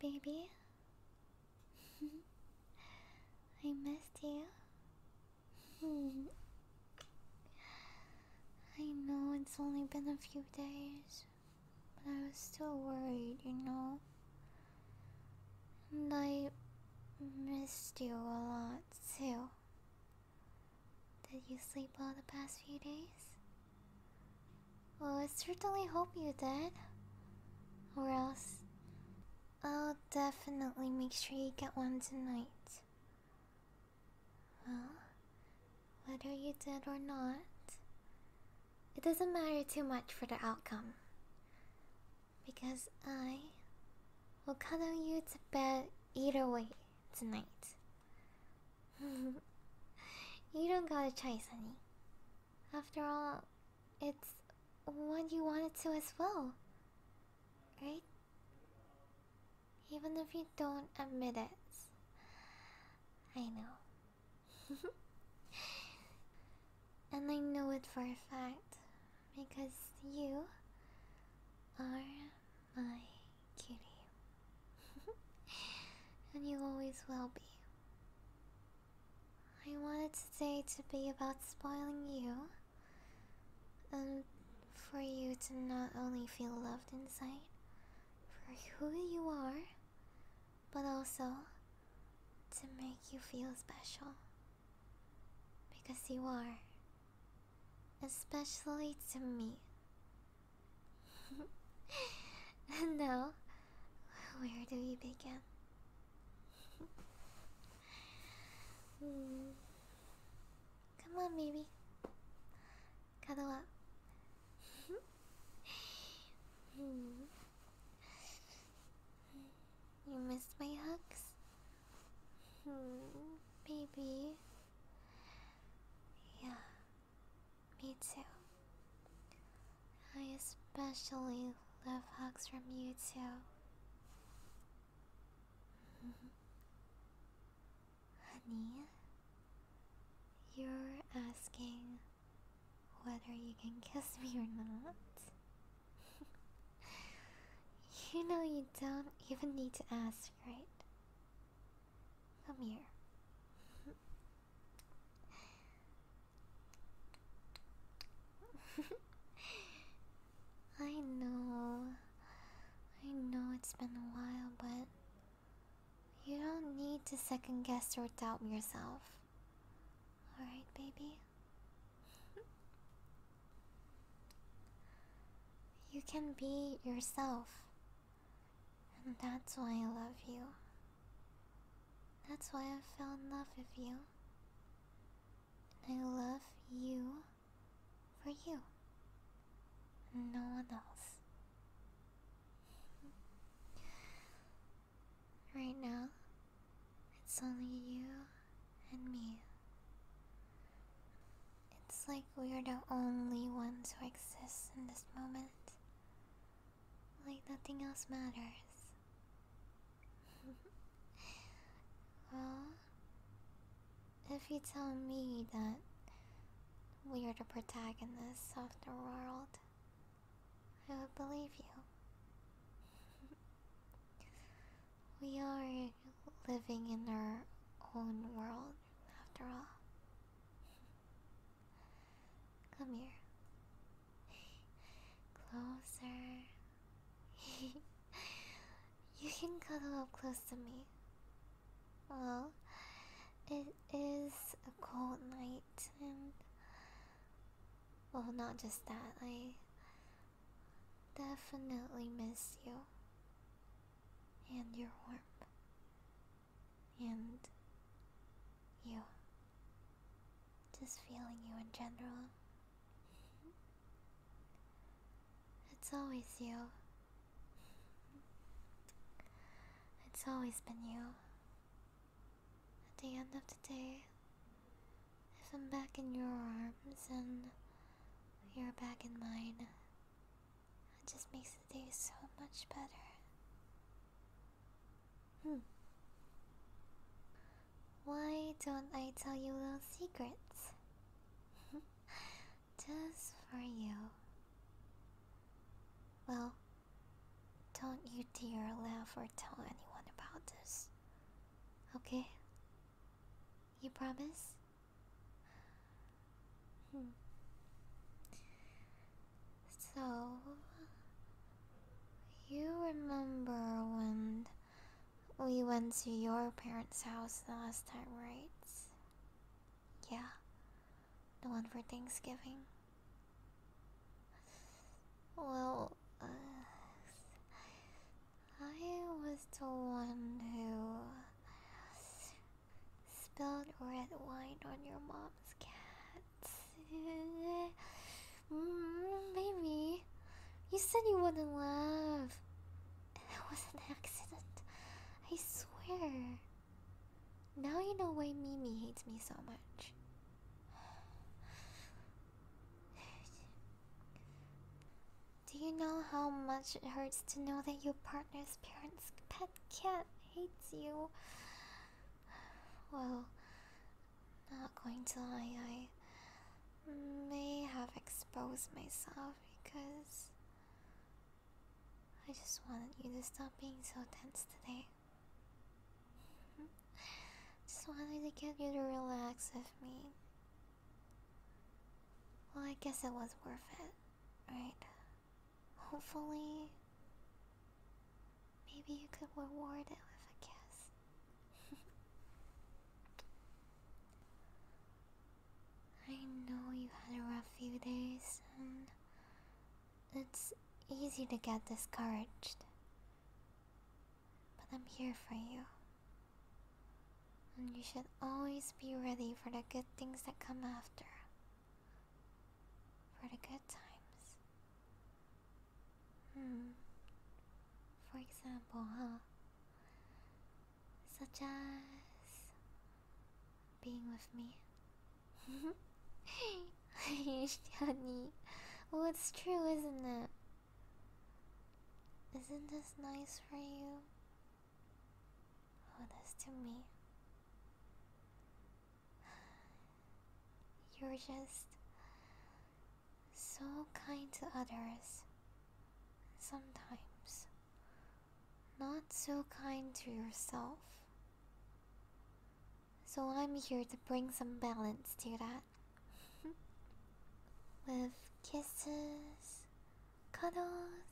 Baby, I missed you. I know it's only been a few days, but I was still worried, you know? And I missed you a lot too. Did you sleep well the past few days? Well, I certainly hope you did. Or else, I'll definitely make sure you get one tonight. Well, whether you did or not, it doesn't matter too much for the outcome. Because I will cuddle you to bed either way tonight. you don't got a choice, honey. After all, it's what you wanted to as well. Right? Even if you don't admit it. I know. and I know it for a fact. Because you are my cutie. and you always will be. I wanted today to be about spoiling you, and for you to not only feel loved inside for who you are, but also to make you feel special. Because you are, especially to me, No. where do we begin? Hmm. Come on, baby. Cuddle up. Hmm. You missed my hugs? Hmm. baby. Yeah, me too. I especially love hugs from you too. Honey, you're asking whether you can kiss me or not. you know you don't even need to ask, right? Come here. I know. I know it's been a while, but you don't need to second guess or doubt yourself. Alright, baby? you can be yourself. And that's why I love you. That's why I fell in love with you. And I love you for you. No one else. right now, it's only you and me. It's like we are the only ones who exist in this moment like nothing else matters. well, if you tell me that we are the protagonists of the world, I would believe you. we are living in our own world, after all. Come here. Closer. you can cuddle up close to me. Well, it is a cold night, and. Well, not just that, I definitely miss you and your warmth and you. Just feeling you in general. It's always you. It's always been you. At the end of the day, if I'm back in your arms and you're back in mine, it just makes the day so much better. Hmm. Why don't I tell you little secrets? Just for you. Well, don't you dare laugh or tell anyone about this. Okay? You promise? Hmm. So, you remember when we went to your parents' house the last time, right? Yeah, the one for Thanksgiving. Well, uh, I was the one who spilled red wine on your mom's cat. Mm, you said you wouldn't laugh. That was an accident. I swear. Now you know why Mimi hates me so much. Do you know how much it hurts to know that your partner's parents' pet cat hates you? Well, not going to lie, I may have exposed myself because I just wanted you to stop being so tense today. just wanted to get you to relax with me. Well, I guess it was worth it, right? Hopefully, Maybe you could reward it with a kiss. I know you had a rough few days, and it's easy to get discouraged. But I'm here for you. And you should always be ready for the good things that come after, for the good times. Hmm. For example, huh? Such as being with me. Honey. well, it's true, isn't it? Isn't this nice for you? All oh, this to me. You're just so kind to others. Sometimes, not so kind to yourself. So, I'm here to bring some balance to that. With kisses, cuddles,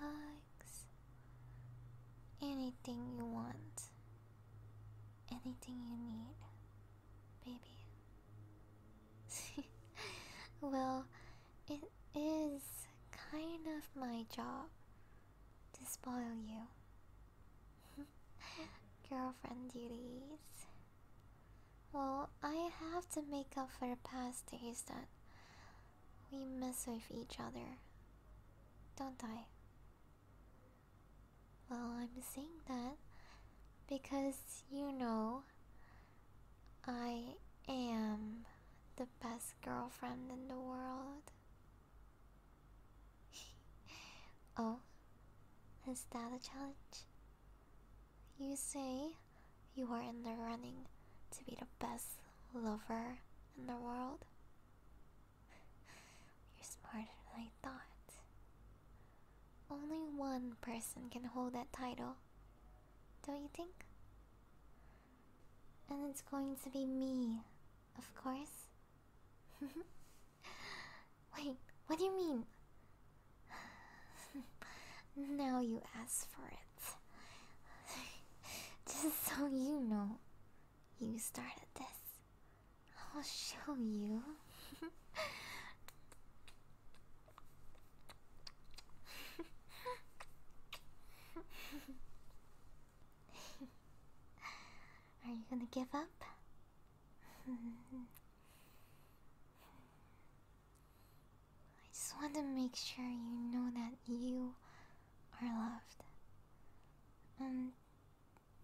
hugs, anything you want. Anything you need, baby. well, it is kind of my job to spoil you. Girlfriend duties. Well, I have to make up for the past days that we mess with each other, don't I? Well, I'm saying that because you know I am the best girlfriend in the world. oh, is that a challenge? You say you are in the running to be the best lover in the world? You're smarter than I thought. Only one person can hold that title, don't you think? And it's going to be me, of course. Wait, what do you mean? now you ask for it. Just so you know, you started this. I'll show you. Are you gonna give up? I just want to make sure you know that you are loved. Um,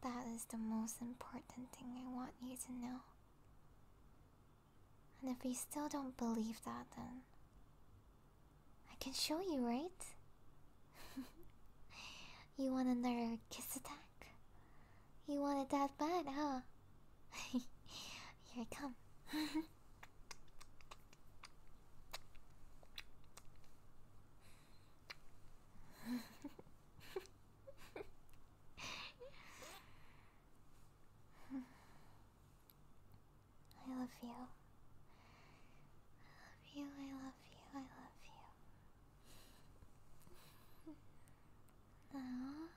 that is the most important thing I want you to know. And if you still don't believe that, then I can show you, right? you want another kiss attack? You want it that bad, huh? Here I come. I love you. I love you, I love you, I love you. now,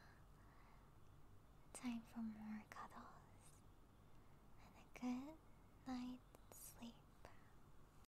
time for more cuddles and a good night's sleep.